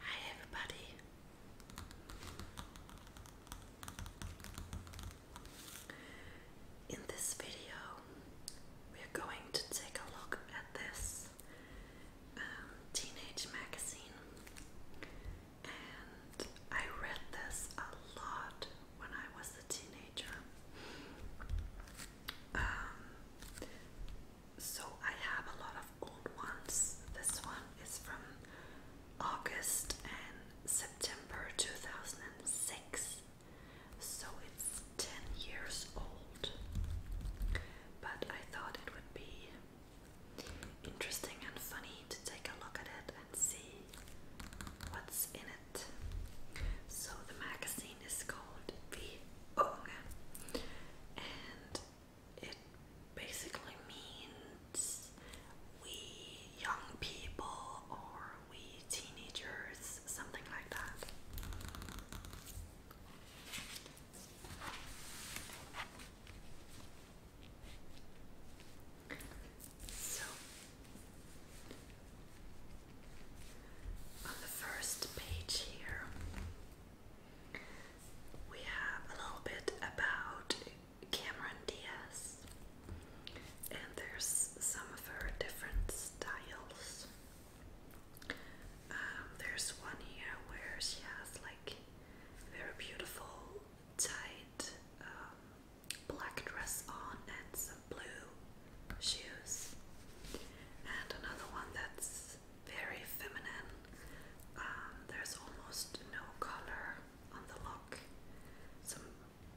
Hi everybody. In this video, we are going to take a look at this um, teenage magazine and I read this a lot when I was a teenager. Um, so I have a lot of old ones. This one is from August and September 2006, so it's 10 years old. But I thought it would be interesting and funny to take a look at it and see what's in it. So the magazine is called Vi Unge and it basically means we young people or we teenagers, something like that. So, on the first page here, we have a little bit about Cameron Diaz, and there's some of her different styles. Um, there's one here where she has like very beautiful tight um, black dress on and some blue shoes, and another one that's very feminine. Um, there's almost no color on the look, some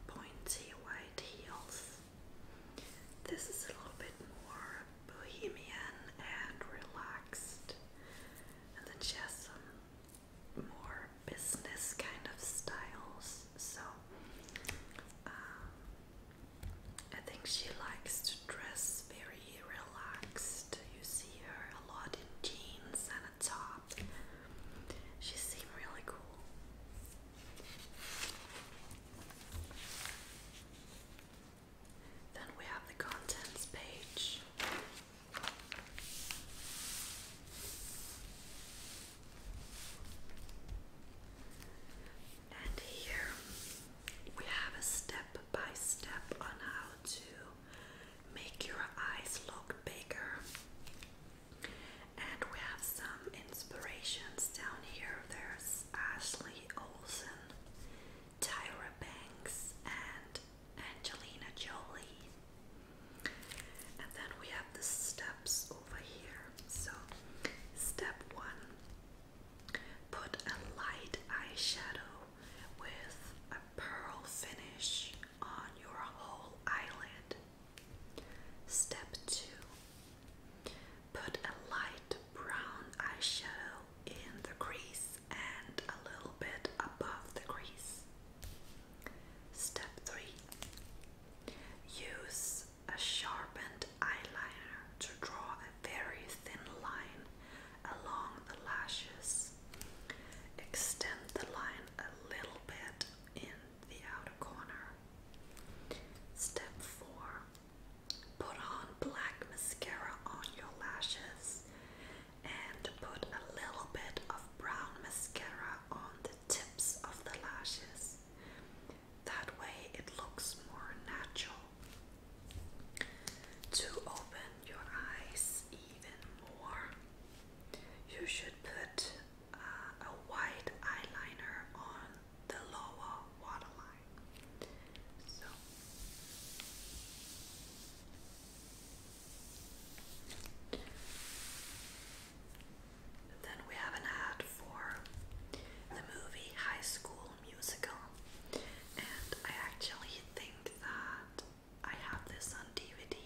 pointy white heels. This is a little bit more bohemian and relaxed, and then she some more business kind of styles. So um, I think she likes to dress very relaxed. You see her a lot in jeans and a top. She seems really cool. Then we have the contents page. And here we have a step by step on how to make your eyes look bigger. And we have some inspirations down here. There's Ashley Olsen, Tyra Banks, and Angelina Jolie. And then we have the steps over here. So, step one put a light eyeshadow with a pearl finish on your whole eyelid. Step two put a light brown eyeshadow in the crease and a little bit above the crease. Step 3 Use a sharpened eyeliner to draw a very thin line along the lashes. Extend the line a little bit in the outer corner. Step 4 Put on black mascara on your lashes and put a little bit of brown mascara on the tips of the lashes. That way it looks more natural. To open your eyes even more, you should put uh, a white eyeliner on the lower waterline. So then we have an ad for the movie High School Musical, and I actually think that I have this on DVD.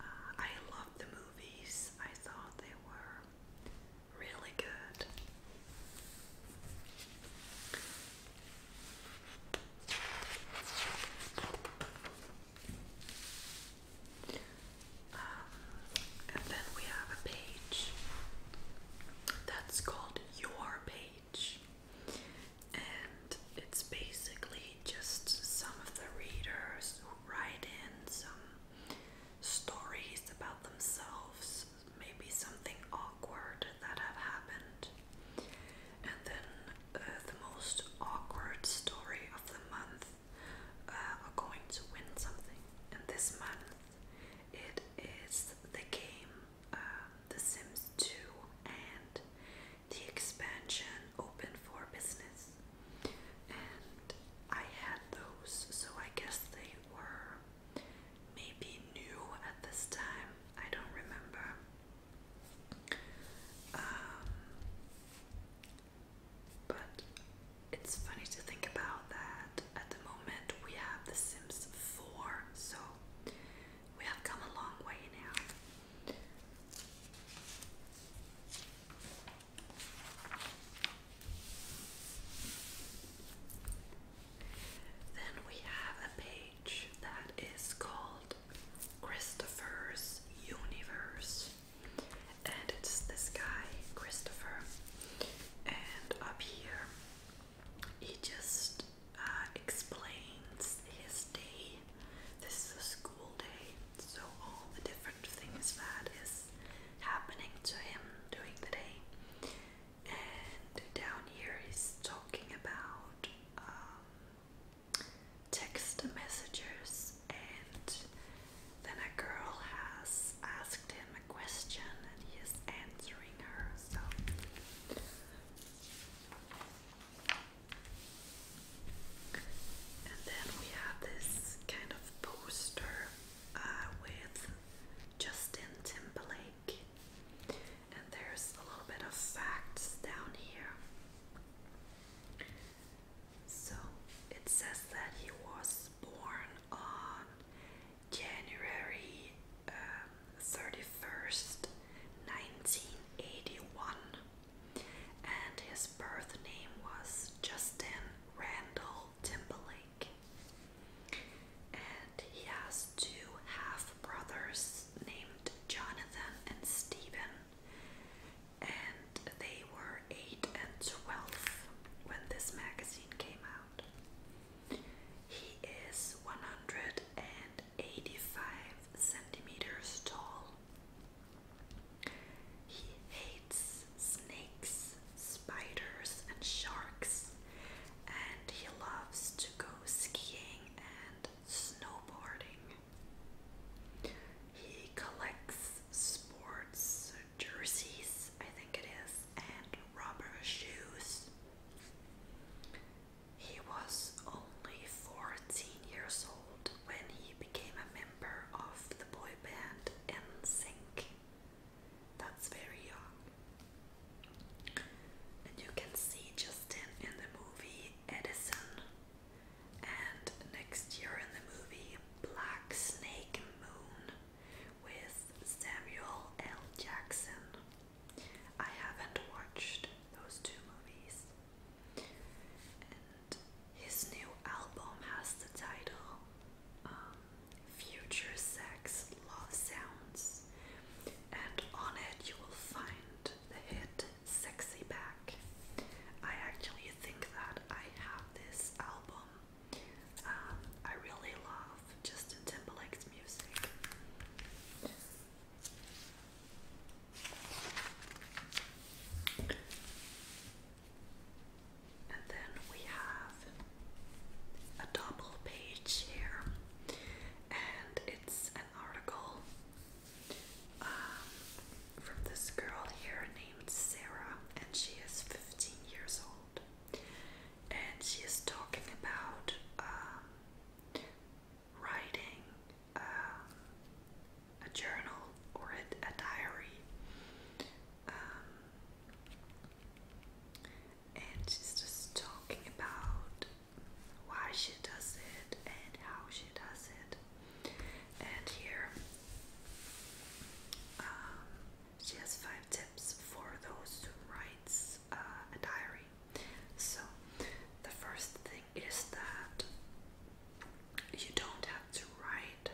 Uh, I love the movies, I thought they were really good. Um, and then we have a page that's called Your Page, and it's basically just some of the readers write in some stories about themselves, maybe something awkward that have happened, and then uh, the most awkward story of the month uh, are going to win something. And this month it is the game um, The Sims 2 and the expansion Open for Business. And I had those, so I guess they were maybe new at this time. I don't remember. Um, but it's funny to think about that at the moment we have The Sims 4, so we have come a long way now. Then we have a page that is called Christopher's Universe, and it's this guy, Christopher. And up here, he just uh, explains his day. This is a school day, so all the different things that is happening to him during the day. And down here, he's talking about um, text messages, and then a girl has asked him a question and he is answering her. So. And then we have this kind of poster uh, with Justin Timberlake, and there's a little bit of facts down here. So it says that he was born on January 31st, um, 1981, and his birth name was Justin Randall Timberlake. And he has two half brothers named Jonathan and Stephen and they were 8 and 12 when this magazine came out. He is 185 centimeters tall. He hates snakes, spiders, and sharks, and he loves to go skiing and snowboarding. He collects sports jerseys, I think it is, and rubber shoes. He was only 14 years old when he became a member of the boy band NSYNC. That's very young. And you can see Justin in the movie Edison and next year in the movie Black Snake Moon with Samuel L. Jackson. I haven't watched those two movies. And his new album has the title um, Future Sex Love Sounds, and on it you will find the hit sexy back. I actually think that I have this album. Um, I really love Justin Timberlake's music. And then we have a double page here, and it's an article um, from this girl here named Sarah, and she is 15 years old. And she is talking about um, writing um, a journal or a, diary. and she's just talking about why she does it and how she does it. And here um, she has five tips for those who write uh, a diary. So the first thing is that you don't have to write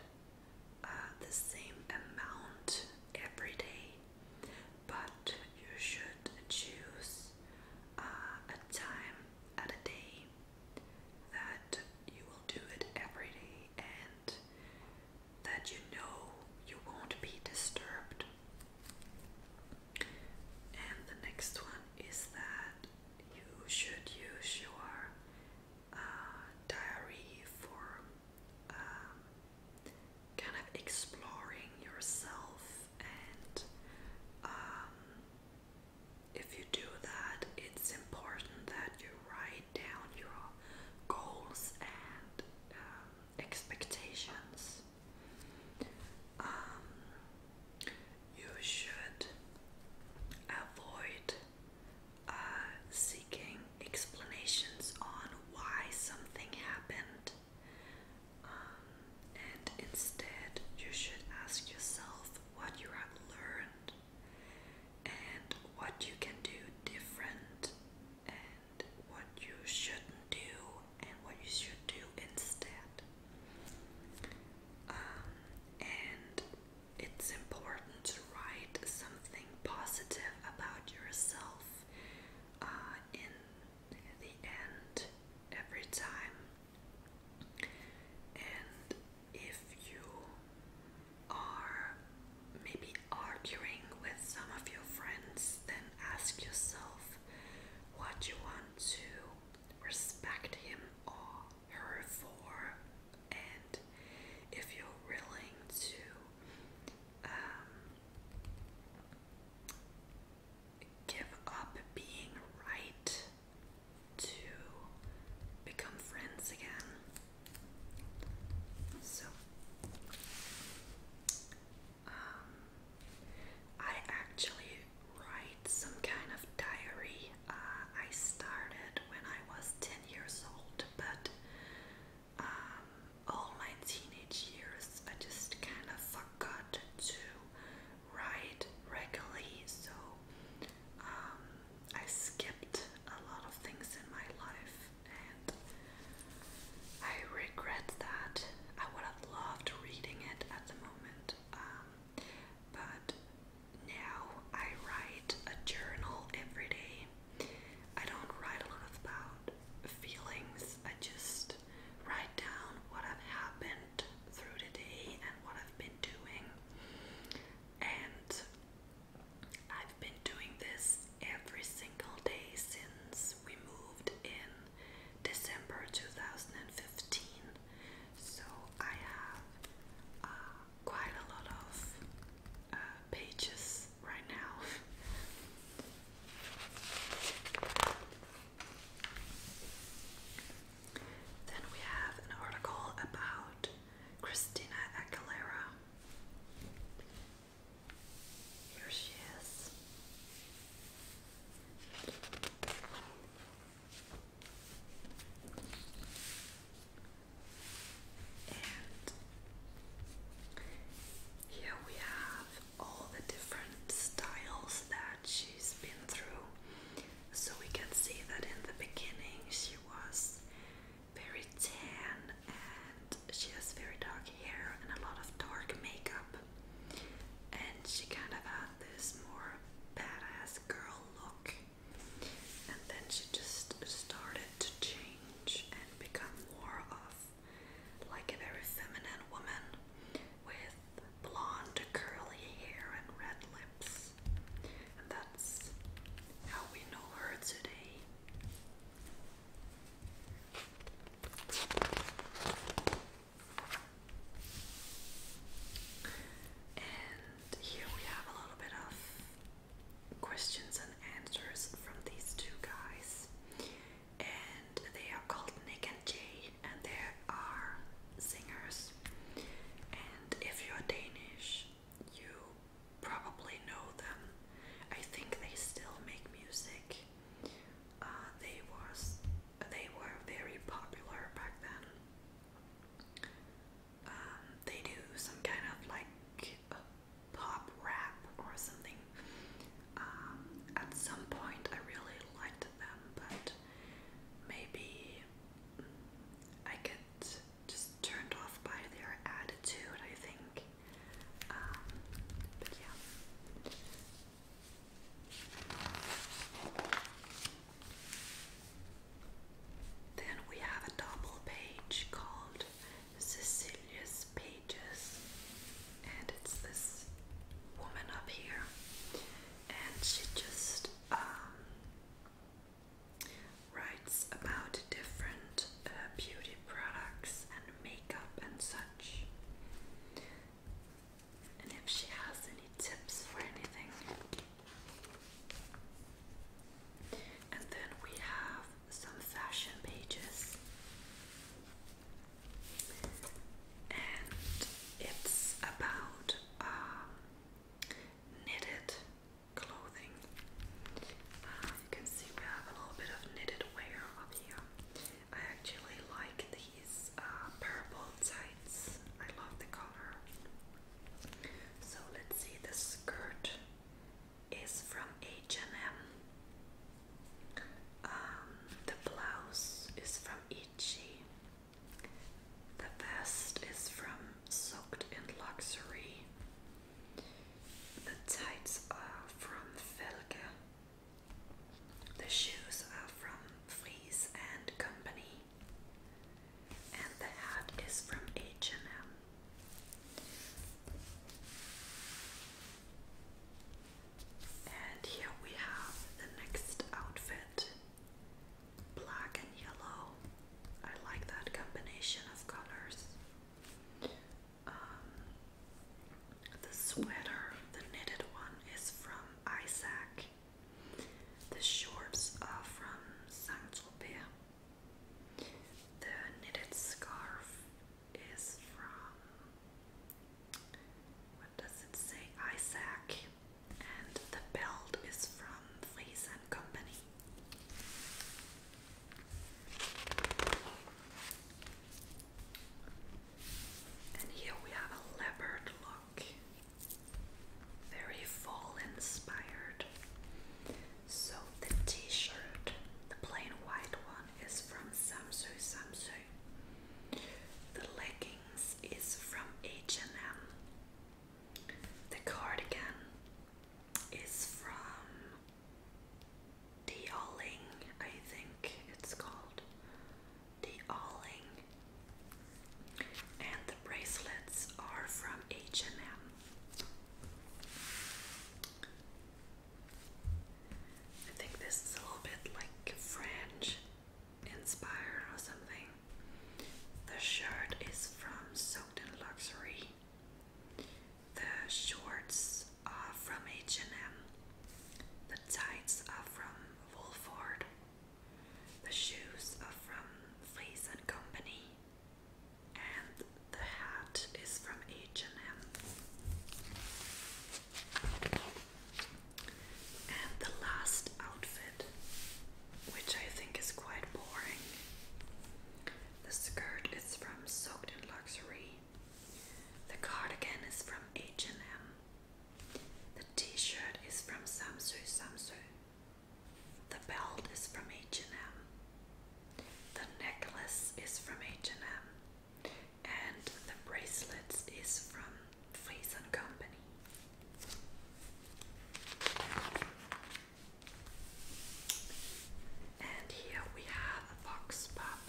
uh, the same amount every day, but you should choose uh, a time at a day that you will do it every day and that you know you won't be disturbed. And the next one is that you should use your uh, diary for um, kind of exploring yourself and um, if you do that, it's important that you write down your goals and um, expectations. Um, you should avoid uh, seeking explanations on why something happened. Um, and instead, you should ask yourself what you have learned and what you can do different and what you shouldn't do and what you should do instead. Um, and it's important to write something positive about yourself uh, in the end every time and if you are maybe arguing with some of your friends, then ask yourself what you want to respect him or her for, and if you're willing to. Um, give up being right to become friends again. So, um, I actually write some kind of diary. Uh, I started when I was 10 years old, but um, all my teenage years I just kind of forgot to ride regularly, so um, I skipped a lot of things in my life and I regret that. I would have loved reading it at the moment, um, but now I write a journal every day. I don't write a lot about feelings, I just write down what have happened through the day and what I've been doing. And I've been doing this every single day since we moved in December 2015. So I have uh, quite a lot of uh, pages right now. Then we have an article about Christina Aguilera. Here she is. And here we have all the different styles that she's been through. So we can see that in the beginning she was very tan and she has very dark hair and a lot of dark makeup. And she kind of had this more badass girl look. And then she just started to change and become more of like a very feminine woman with blonde curly hair and red lips. And that's how we know her today. And here we have a little bit of questions and answers from these two guys. And they are called Nick and Jay, and they are singers. And if you're Danish, you probably know them. I think they still make music. Uh, they was they were very popular back then. Um, they do some kind of like uh, pop rap or something. Um, at some point, I really liked them, but maybe I get just turned off by their attitude, I think. Um, but yeah. Then we have a double page called Cecilia's Pages, and it's this woman up here, and she just um, writes about different uh, beauty products and makeup and such. And if she has any tips for anything. And then we have some fashion pages. And it's about um, knitted clothing. Uh, you can see we have a little bit of knitted wear up here. I actually like these uh, purple tights. I love the color. So let's see. The skirt is from H and M. Um, the blouse is from Itchy. The vest is from Soaked in Luxury. The tights are from Felge. The shoes are from Fries and Company. And the hat is from H&M. And here we have the next outfit black and yellow. I like that combination of colors. Um, the sweater, the knitted one, is from Isaac. The shorts are from Saint Tropez. The knitted scarf is from. What does it say? Isaac and the belt is from Fleece and Company. And here we have a leopard look, very fall inspired. So the t-shirt, the plain white one, is from Samsu Samsu. The leggings is from H&M. The cardigan is from the Alling, I think it's called the Alling, and the bracelets are from H and M. I think this is a little bit like French inspired or something. The shirt is from Soaked in Luxury. The shorts are from H&M. The tights are from Woolford. The shoes are from Fleece Company. And the hat is from H&M. And the last outfit which I think is quite boring. The skirt is from Soaked in Luxury. The cardigan is from H&M. The t-shirt is from Samsu Samsu. The belt is from H&M. The necklace is from H&M. And the bracelets is from Friesen Company. And here we have a fox pop,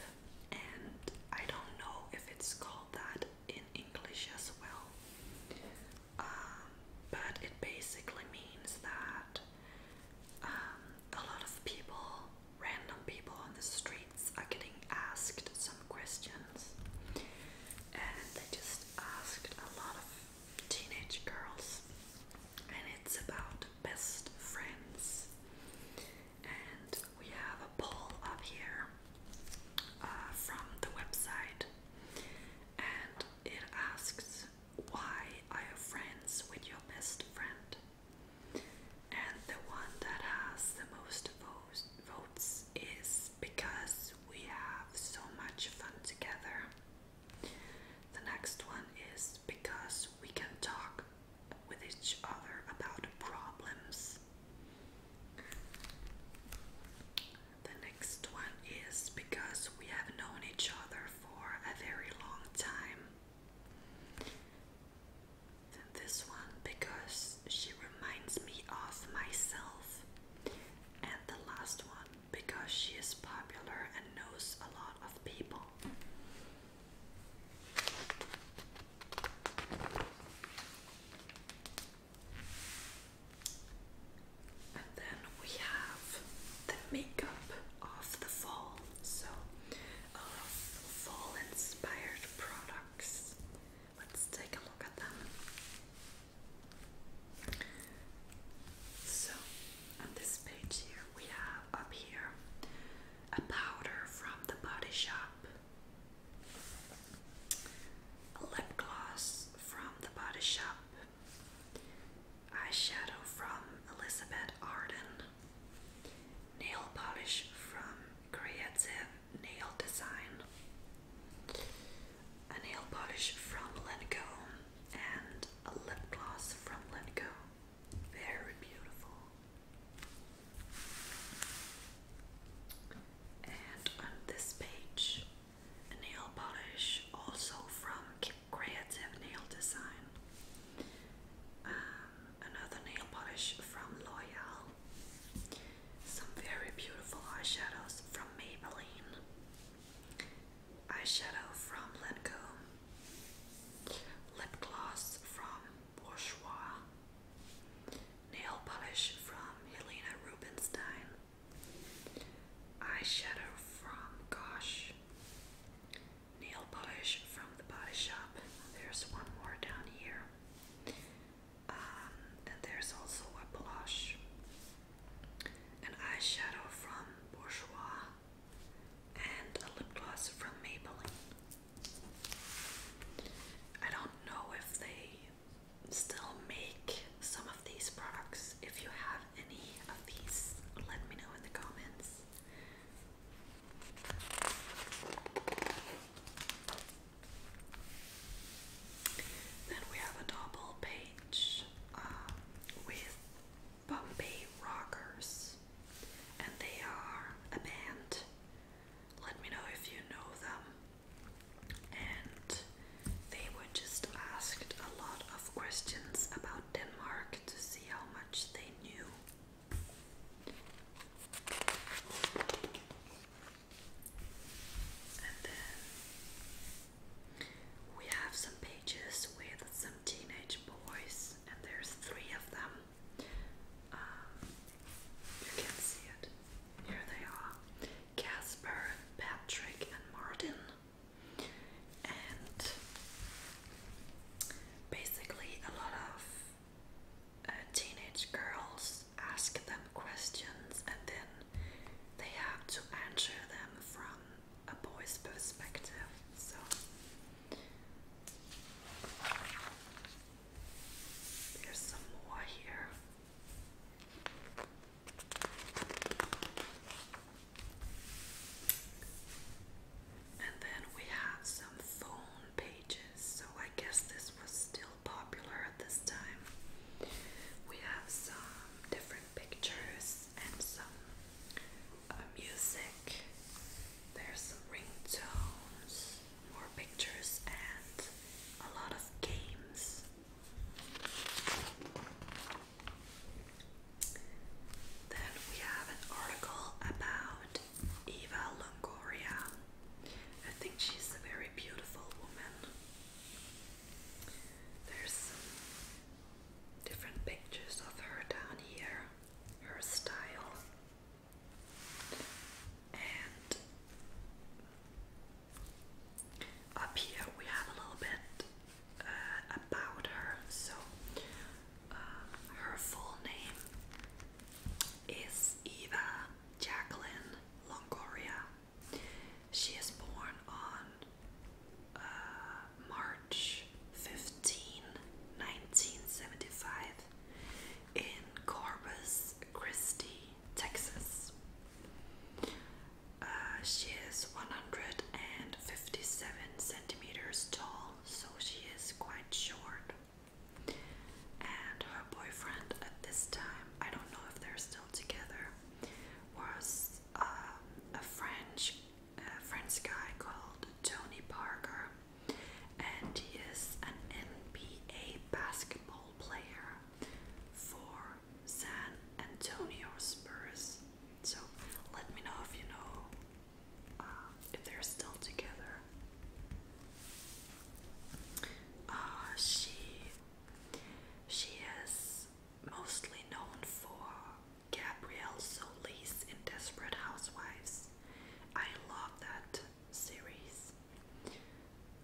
and I don't know if it's called that in English as well, um, but it basically means that um, a lot of people, random people on the streets, are getting asked some questions, and they just asked a lot of teenage girls, and it's about best friends. And we have a poll up here uh, from the website, and it asks, Why I have friends with your best friend? And the one that has the most votes is because we have so much fun together. The next one is because we can talk with each other about problems. The next one is because we have known each other for a very long time. this one because she reminds me of myself. And the last one because she is popular and knows a lot of people. And then we have the makeup of the fall, so fall inspired products. Let's take a look at them. So, on this page here, we have up here a powder from the Body Shop, a lip gloss from the Body Shop, eyeshadow from Elizabeth Arden, nail polish from Creative Nail Design. A nail polish from Lancome, and a lip gloss from Lenko. Very beautiful. And on this page, a nail polish also from Creative Nail Design. Um, another nail polish from L'Oreal. Some very beautiful eyeshadows from Maybelline eyeshadow from Lancome, lip gloss from Bourjois, nail polish from Helena Rubinstein, eyeshadow from Gosh, nail polish from the Body Shop. There's one more down here. Um, there's also a blush an eyeshadow from Bourjois, and a lip gloss from Maybelline. I don't know if they still make some of these products. If you have any of these, let me know in the comments. Then we have a double page range uh, with Bombay Rockers, and they are a band. Let me know if you know them. And they were just asked a lot of questions about Denmark to see how much they knew. And then we have some pages with some teenage boys, and there's three of them. Um, you can see it. Here they are Casper, Patrick, and Martin. And basically, a lot of uh, teenage girls ask them questions, and then they have to answer them from a boy's perspective. So there's some more here. And then we have some phone pages, so I guess this was still popular at this time. We have some different pictures and some uh, music. There's some ringtones, more pictures, and a lot of games. Then we have an article about Eva Longoria. I think she's a very beautiful woman. There's some different pictures of her down here, her style, and up here we have a little bit uh, about her. So uh, her full name is Eva Jacqueline Longoria. She is born on uh, March 15, in Corpus Christi, Texas. Uh, she is 157 centimeters tall, so she is quite short. And her boyfriend at this time, I don't know if they're still together, was um, a French French guy called Tony Parker, and he is an NBA basketball player for San Antonio Spurs. So let me know if you know uh, if they're still together. Uh, she she is mostly known for Gabrielle Solis in Desperate Housewives. I love that series.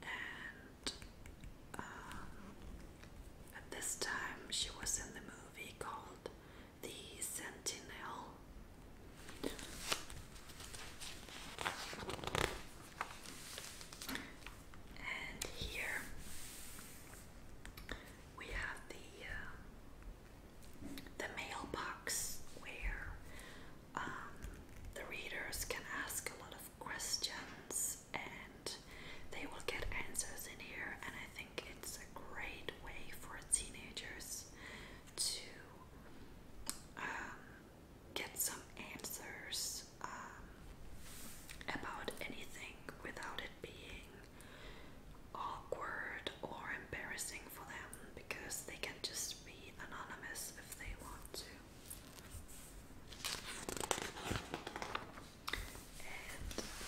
And um, at this time, she was in the movie called The Sentinel. And here we have the um, the mailbox where um, the readers can ask a lot of questions and they will get answers in here. And I think it's a great way for teenagers to um, get some answers about anything without it being awkward or embarrassing for them because they can just be anonymous if they want to.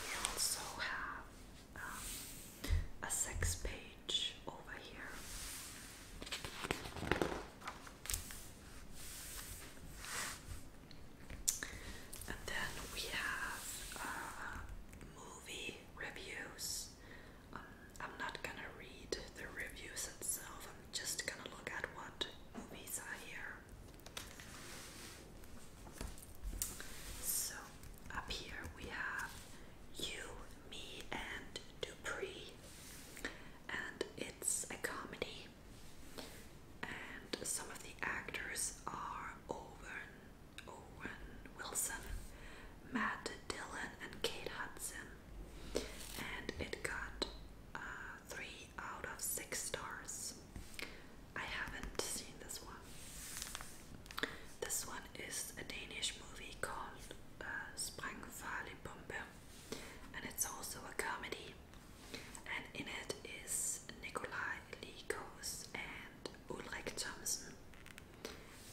we also have um, a sex page over here. And then we have uh, movie reviews. Um, I'm not gonna read the reviews itself, I'm just gonna look at what movies are here. So, up here we have You, Me, and Dupree, and it's a comedy and some of the actors are Owen, Owen Wilson, Matt Dillon, and Kate Hudson. And it got uh, three out of six stars. I haven't seen this one. This one is a Danish movie called uh, Sprangfarlig Bombe, and it's also a comedy and in it is Nikolai Likos and Ulrich Thomsen,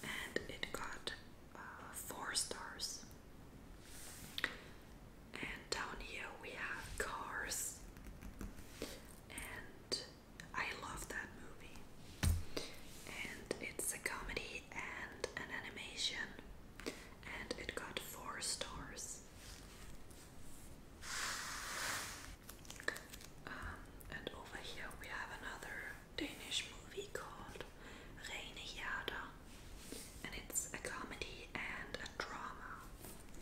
and it got uh, four stars. And down here we have Cars, and I love that movie. And it's a comedy and an animation, and it got four stars. Um, and over here we have another Danish movie called Reine Jada, and it's a comedy and a drama.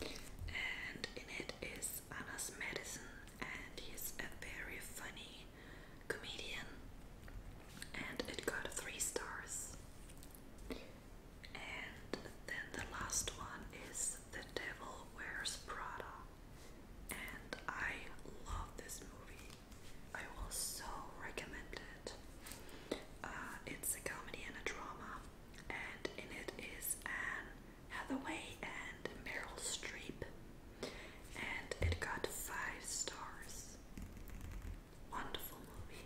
And in it is Anna's Madison, and he's a very funny comedian. And it got three stars. And then the last one is the Devil Wears Prada. And I love this movie. I will so recommend it. Uh, it's a comedy and a drama, and in it is Anne Hathaway and Meryl Streep, and it got five stars. Wonderful movie.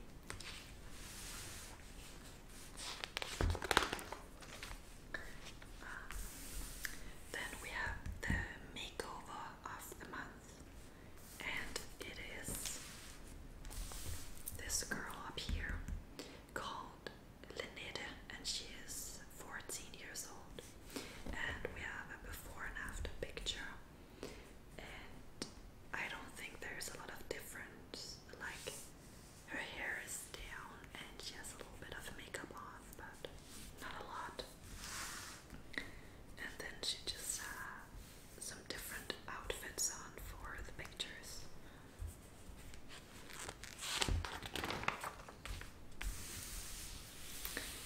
Uh, then we have the makeover of the month, and it is this girl up here called Lineda, and she is 14 years old. And we have a before and after picture, and I don't think there's a lot of difference. Like her hair is down and she has a little bit of makeup on, but not a lot. And then she just uh, some different outfits on for the pictures.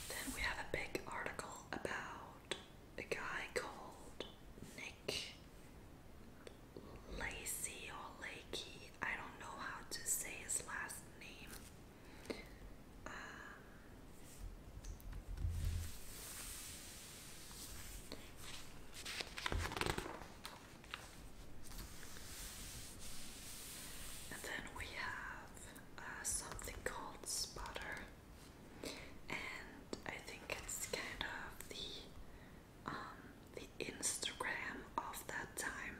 Then we have a big article about a guy called Nick Lacy or Lakey. I don't know how to say his last name. Um, and then we have uh, something called Spotter, and I think it's kind of the um, the Instagram of that time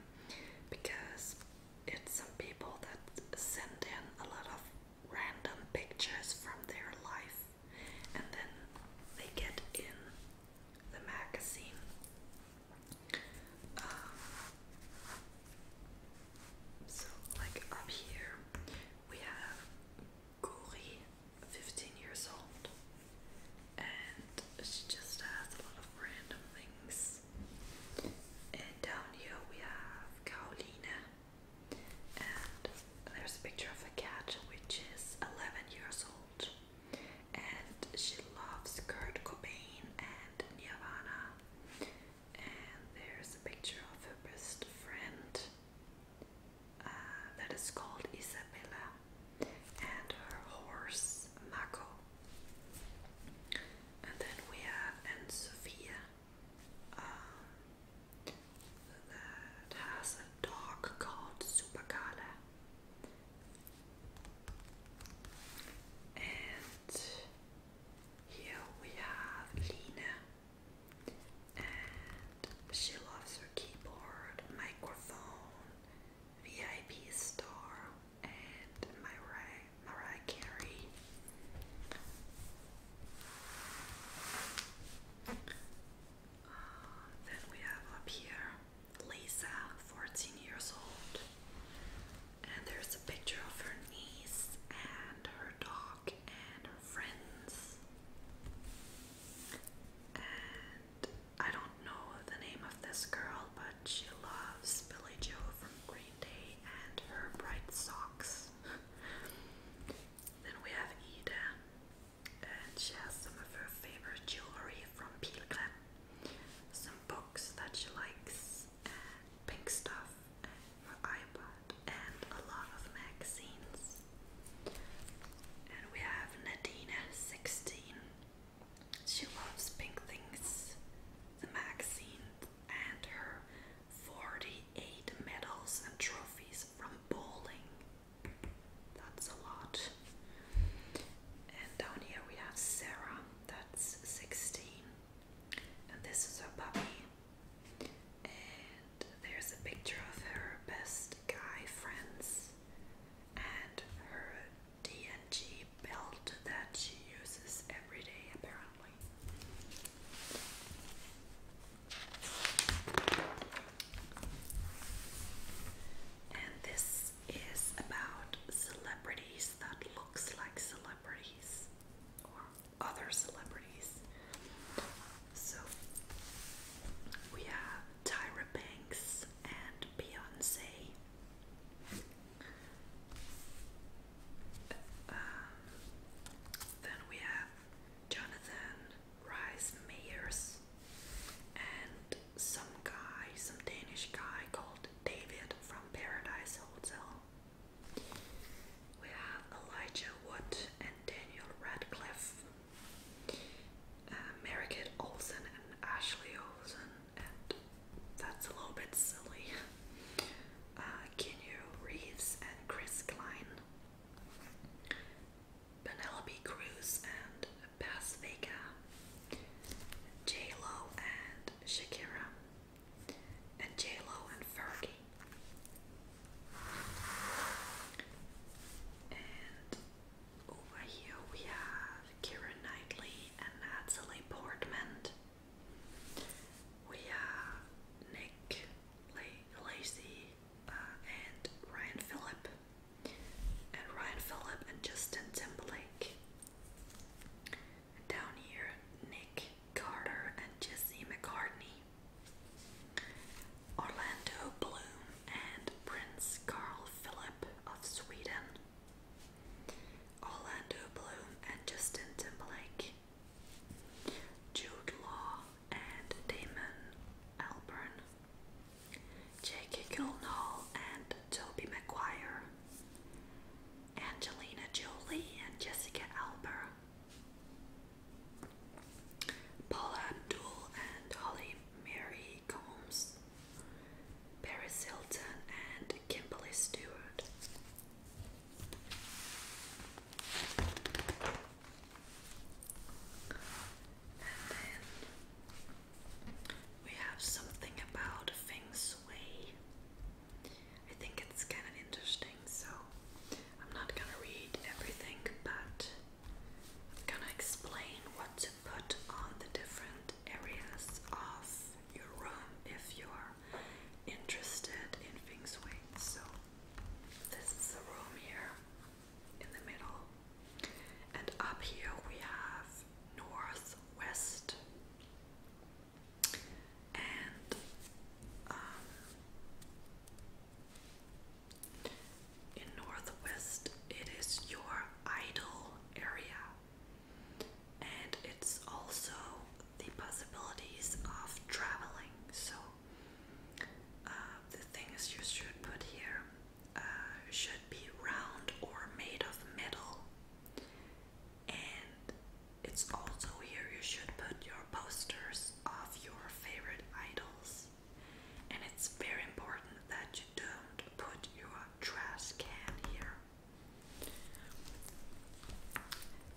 because it's some people that send in a lot of random pictures from their life and then they get in the magazine. Um, so, like up here, we have Guri, 15 years old and she just has a lot of random things. And down here we have Carolina, and there's a picture of a cat which is 11 years old, and she loves Kurt Cobain and Nirvana. And there's a picture of her best friend uh, that is called Isabella and her horse Mako. And then we have Sophia um, that has a dog called Supacala. And here we have Lina, and she loves her keyboard, microphone, VIP star and Mariah, Mariah Carey. Uh, then we have up here Lisa, 14 years old. And there's a picture of her niece and her dog and her friends. And I don't know the name of this girl, but she loves Billy Joe from Green Day and her bright socks. then we have Ida, and she has some of her favorite jewelry from Pilgrim, some books that she likes, and pink stuff, and her iPod, and a lot of magazines. And we have Nadina, 16. She loves Pink Things, the magazine, and her 48 medals and trophies from bowling. That's a lot. And down here we have Sarah, that's 16. And this is her puppy. And there's a picture of her best guy friends and her DNG belt that she uses every day, apparently. And this is about celebrities that looks like celebrities or other celebrities. So we have Tyra Banks and Beyonce. Um, then we have Jonathan Rice Meyers and some guy, some Danish guy called David from Paradise Hotel. We have Elijah Wood and Daniel Radcliffe, uh, Olsen and Ashley Olsen, and that's a little bit silly. Uh, Keanu Reeves and Chris Klein, Penelope Cruz and Paz J Lo and Shakira, and J Lo and Fergie. And over here we have Kira Knightley and Natalie Portman. We have Nick Lacy uh, and Ryan Phillip. And Ryan Phillip and Justin Timberlake. down here, Nick Carter and Jesse McCartney. Orlando Bloom and Prince Carl Philip of Sweden. Orlando Bloom and Justin Timberlake, Jude Law and Damon Albarn, Jake Gyllenhaal and Toby Maguire, Angelina Jolie and Jessica Alba, Paula Abdul and Holly Mary Combs, Paris and Kimberly Stewart. And then we have something about Feng I think it's kind of interesting, so I'm not gonna read everything, but I'm gonna explain what put on the different areas of your room if you're interested in feng shui. So, this is the room here in the middle, and up here we have northwest. and um, in northwest it is your idle area and it's also the possibilities of traveling. So uh, the things you should put here uh, should be round or made of metal, and it's also here you should put your posters of your favorite idols. And it's very important that you don't put your trash can here.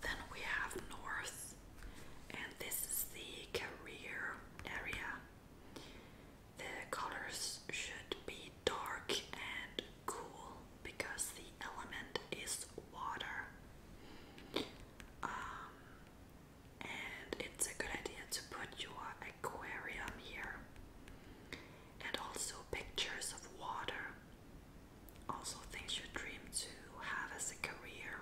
Then we have north, and this is the career area. The colors should be dark and cool because the element is water. Um, and it's a good idea to put your aquarium here and also pictures of water, also things you dream to have as a career.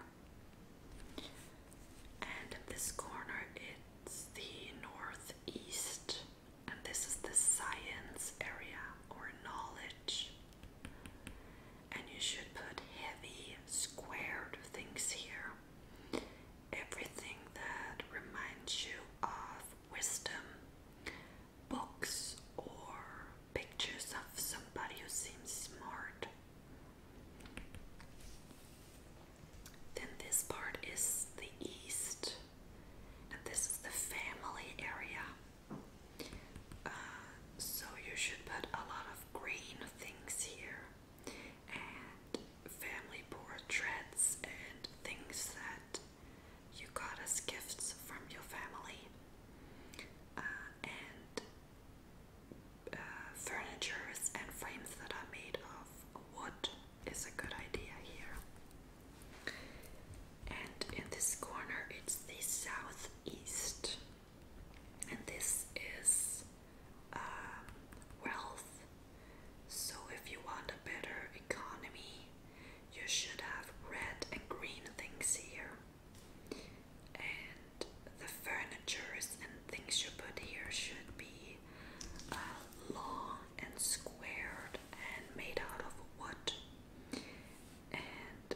And in this corner, it's the northeast, and this is the science area or knowledge. And you should put heavy squared things here. Everything that reminds you of wisdom books or pictures of somebody who seems smart. Then this part is the east, and this is the family area. Uh, so you should put a lot of green things here and family portraits and things that you got us gifts from your family uh, and uh, furnitures and frames that are made of wood is a good idea here. And in this corner, it's the southeast, and this is um, wealth so, if you want a better economy, you should have red and green things here. And the furnitures and things you put here should be uh, long and squared and made out of wood. And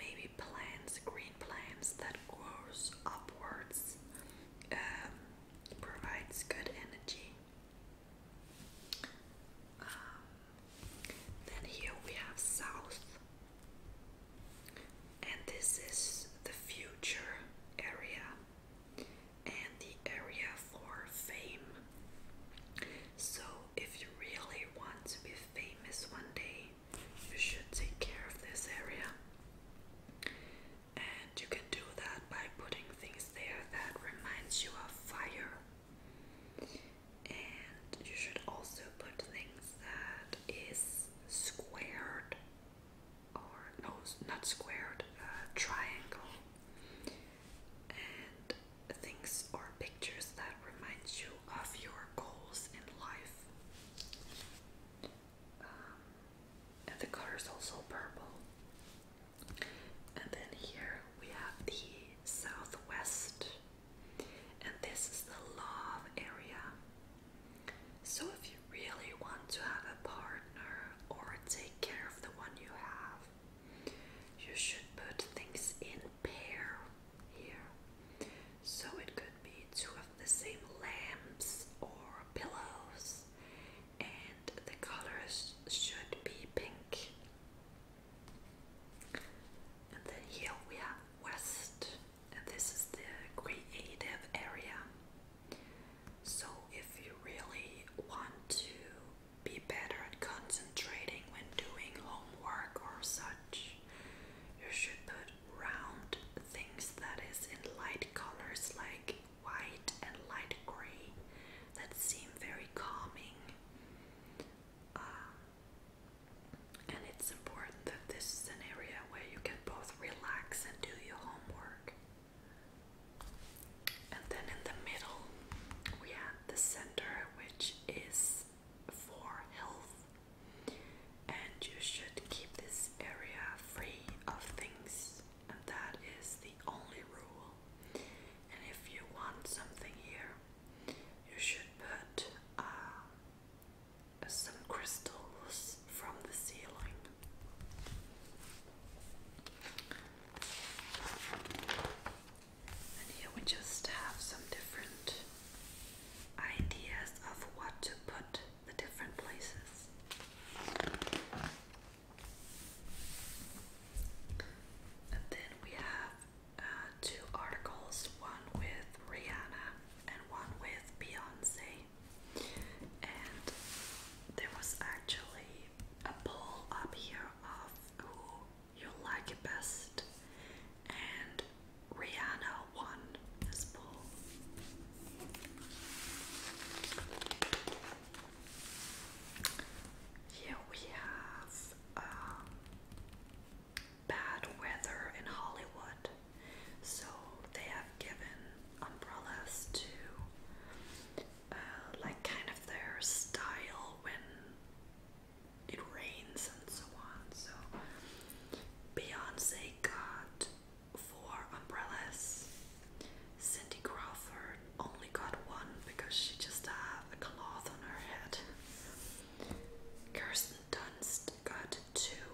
maybe plants, green plants that grows upwards, um, provides good energy. Um, then here we have south, and this is the future area and the area for fame. So, if you really want to be famous one day, you should take care of this area. And you can do that by putting things there that reminds you of fire. And you should also put things that is squared or no, not squared, uh, triangle. And things or pictures that reminds you of your goals in life. Um, and the color is also purple. And then here we have the southwest, and this is the love area. So, if you really want to have a partner or take care of the one you have, you should put things in pair here. So, it could be two of the same lamps or pillows, and the colors should be pink. And then here we are west, this is the creative area. So if you really want to be better at concentrating when doing homework or such, you should put round things that is in light colors like white and light gray that seem very calming. Um, and it's important that this is an area where you can both relax and do your homework. And then in the middle, we have the center, which is for health. And you should keep this area free of things and that is the only rule. And if you want something here, you should put uh, some crystals from the ceiling. And here we just have some different ideas of what to put the different places. And then we have uh, two articles one with Rihanna and one with Beyonce. And there was actually a poll up here of who you like it best, and Rihanna won this poll. Here we have um, bad weather in Hollywood, so they have given umbrellas to uh, like kind of their style when it rains and so on. So Beyonce got four umbrellas. Cindy Crawford only got one because she just had uh, a cloth on her head. Kirsten Dunst got two.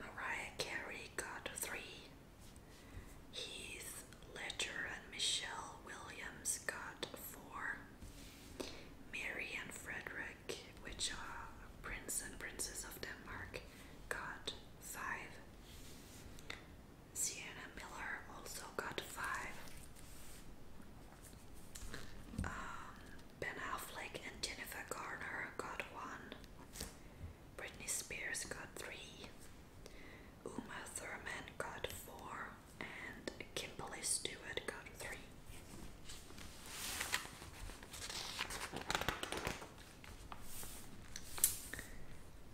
Mariah Carey got three. Heath Ledger and Michelle Williams got four. Mary and Frederick, which are uh, Prince and Princess of Denmark, got five. Sienna Miller also got five. Um, ben Affleck and Jennifer Garner got one. Britney Spears got three. Uma Thurman got four. And Kimberly Stewart got three.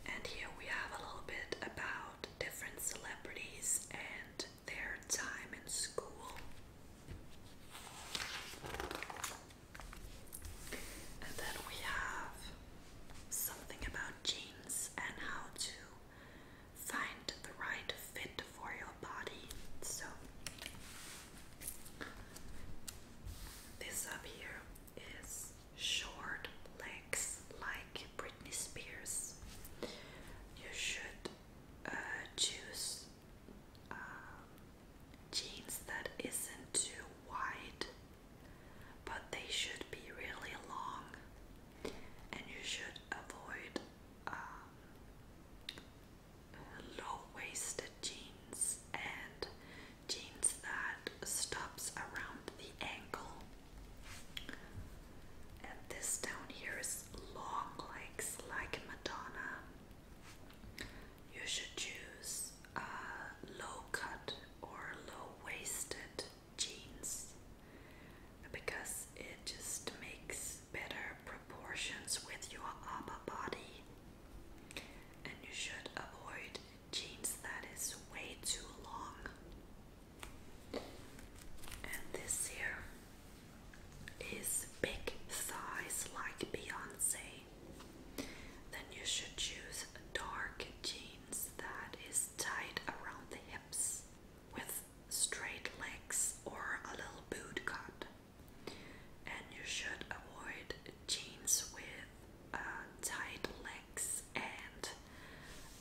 And here we have a little bit about different celebrities and their time in school. And then we have something about jeans and how to find the right fit for your body. So, this up here is short legs like Britney Spears. You should uh, choose um, jeans that isn't too wide, but they should be really long, and you should avoid um, low-waisted jeans and jeans that stops around the ankle. And this down here is long legs like Madonna. You should choose uh, low cut or low waisted jeans because it just makes better proportions with your upper body. And you should avoid jeans that is way too long. And this here is big thighs like Beyonce. Then you should choose dark jeans that is tight around the hips with straight legs or a little boot cut. And you should avoid jeans with uh, tight legs and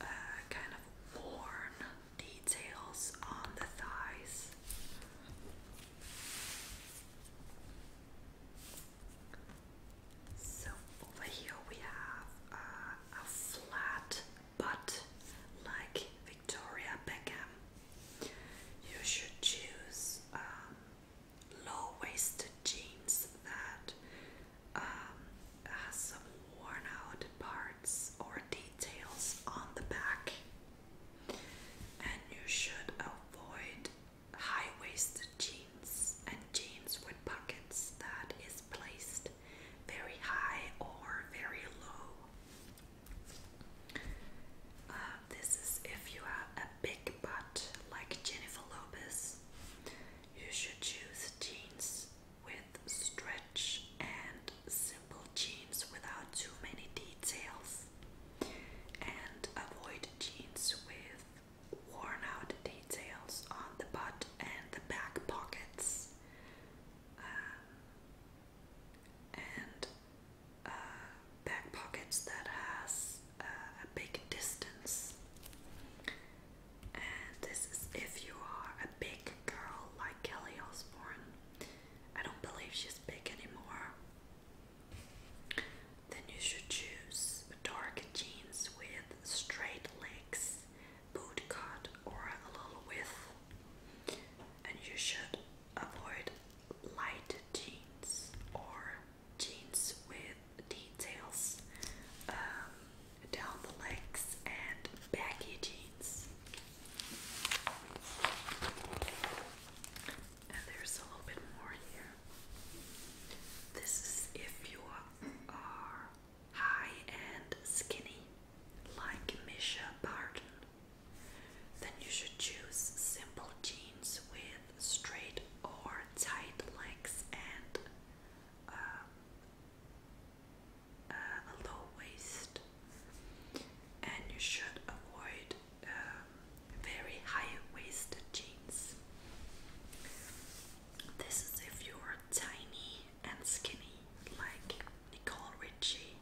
uh, kind of worn details on the thighs. So over here we have uh, a flat butt like Victoria Beckham. You should choose um, low waisted jeans that um, has uh, some worn out parts or details on the back, and you should avoid high waisted jeans and jeans with pockets that is placed very high or very low. Uh, this is if you have a big butt like Jennifer Lopez. You should choose jeans with stretch and simple jeans without too many details, and avoid jeans with worn out details on the butt and the back pockets. Um, and uh, back pockets that has uh, a big distance and this is if you are a big girl like Kelly Osbourne. I don't believe she's big anymore. Then you should choose dark jeans with straight legs, boot cut, or a little width. And you should avoid light jeans or jeans with details um, down the legs and baggy jeans. And there's a little bit more here. This is if you are high and skinny, like Misha Barton, then you should choose simple jeans with straight or tight legs and um, uh, a low waist, and you should avoid um, very high waisted jeans. This is if you are tiny and skinny, like Nicole Richie.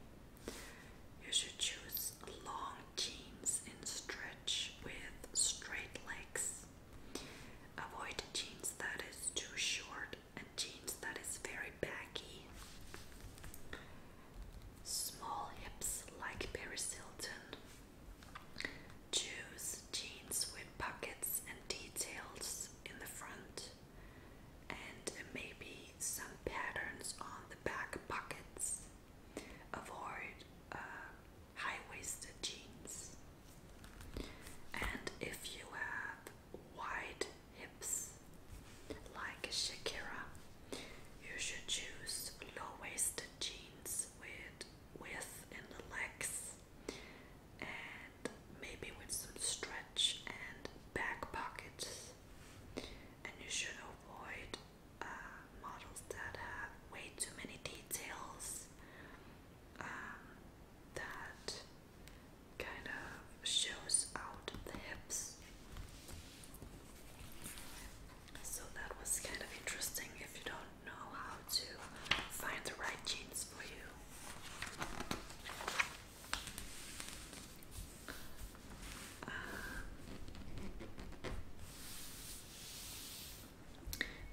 You should choose long jeans in stretch with straight legs. Avoid jeans that is too short and jeans that is very baggy. Small hips like Paris Hilton. Choose jeans with pockets and details in the front and maybe some patterns on the back pockets. Avoid uh, high waisted jeans. And if you have wide hips like Shakira, you should choose low-waisted jeans with width in the legs and maybe with some stretch and back pockets. And you should avoid uh, models that have way too many details. Um, that kind of shows out the hips. So that was kind of interesting if you don't know how to find the right jeans for you. Uh,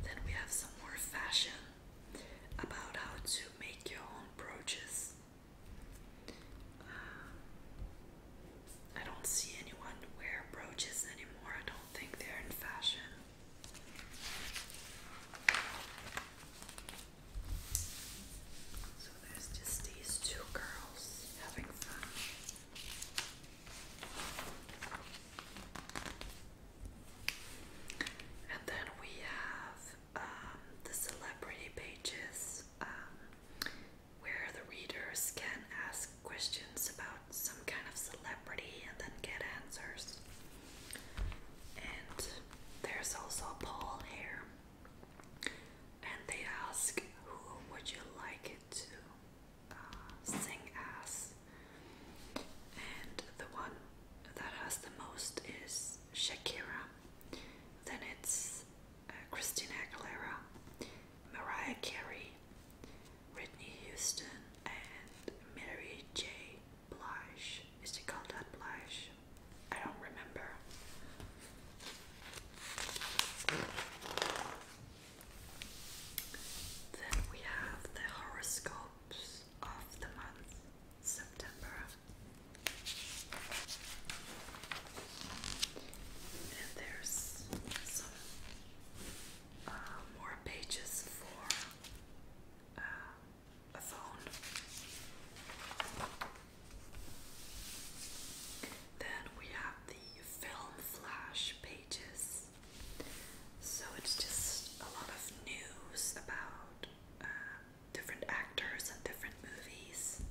then we have some more fashion about how to make your own brooches. Uh, I don't see anyone wear brooches anymore. I don't think they're in fashion. So there's just these two girls having fun. And then we have um, the celebrity pages um, where the readers can ask questions about some kind of celebrity and then get answers. And there's also a poll here. And they ask, who would you like it to uh, sing as? and the one that has the most is Shakira. Then it's uh, Christina Aguilera, Mariah Carey, Whitney Houston, and Mary J. Blige. Is she called that Blige? I don't remember. Then we have the horoscopes of the month September. And there's some uh, more pages for uh, a phone. Then we have the film flash pages. So it's just a lot of news about um, different actors and different movies.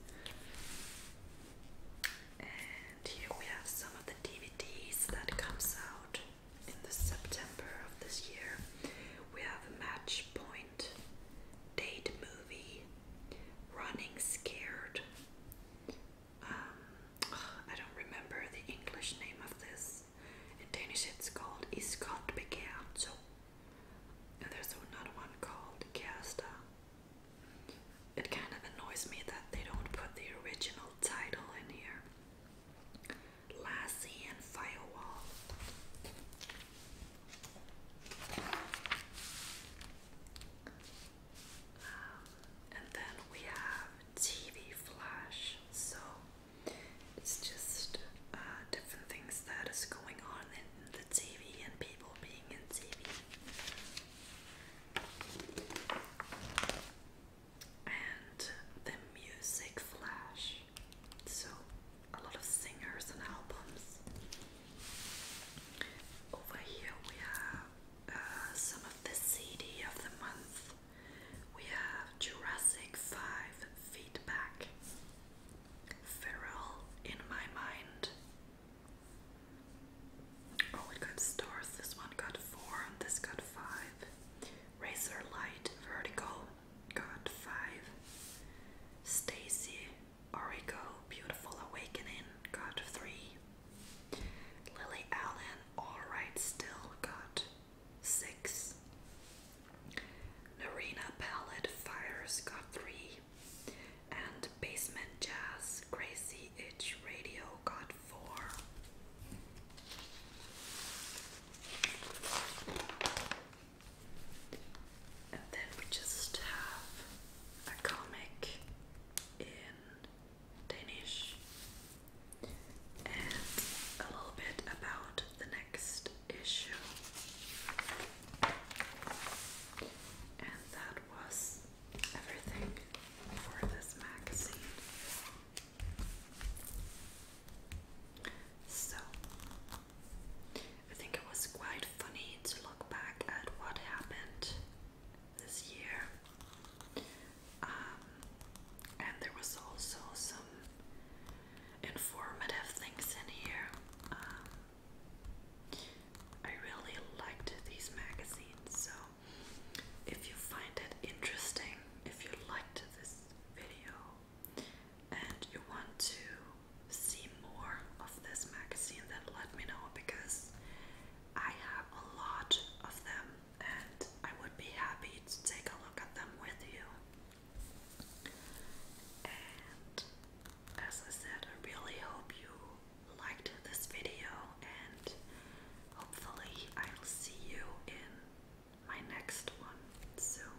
And here we have some of the DVDs that comes out in the September of this year. We have match point, date movie, running scared. Um, I don't remember the English name of this is. In Danish it's called Iskot Begerto. And there's another one called Kersta. It kind of annoys me that they don't put the original title in here. Lassie and Firewall. Um, and then we have TV Flash. So it's just uh, different things that is going on in the TV and people being in TV. And the music flash. So, a lot of singers and albums. Over here we have uh, some of the CD of the month. We have Jurassic 5 feedback. Feral in my mind. Oh, it got stars. This one got 4 this got 5. Razor Light Vertical got 5. Stacy Origo Beautiful Awakening got 3. Lily Allen Alright Still got six. Narina Palette Fires got three. And Basement Jazz Crazy Itch Radio got four. And then we just have a comic in Danish and a little bit about the next issue, and that was everything for this magazine. So, I think it was quite funny to look back at what happened this year. Um, and there was also some informative things in here. Um, I really liked these magazines, so if you find it interesting, if you liked this video and you want to see more of this magazine, then let me know because I have a lot of them and I would be happy to take a look at them with you as I said, I really hope you liked this video, and hopefully, I will see you in my next one soon.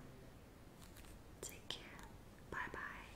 Take care. Bye bye.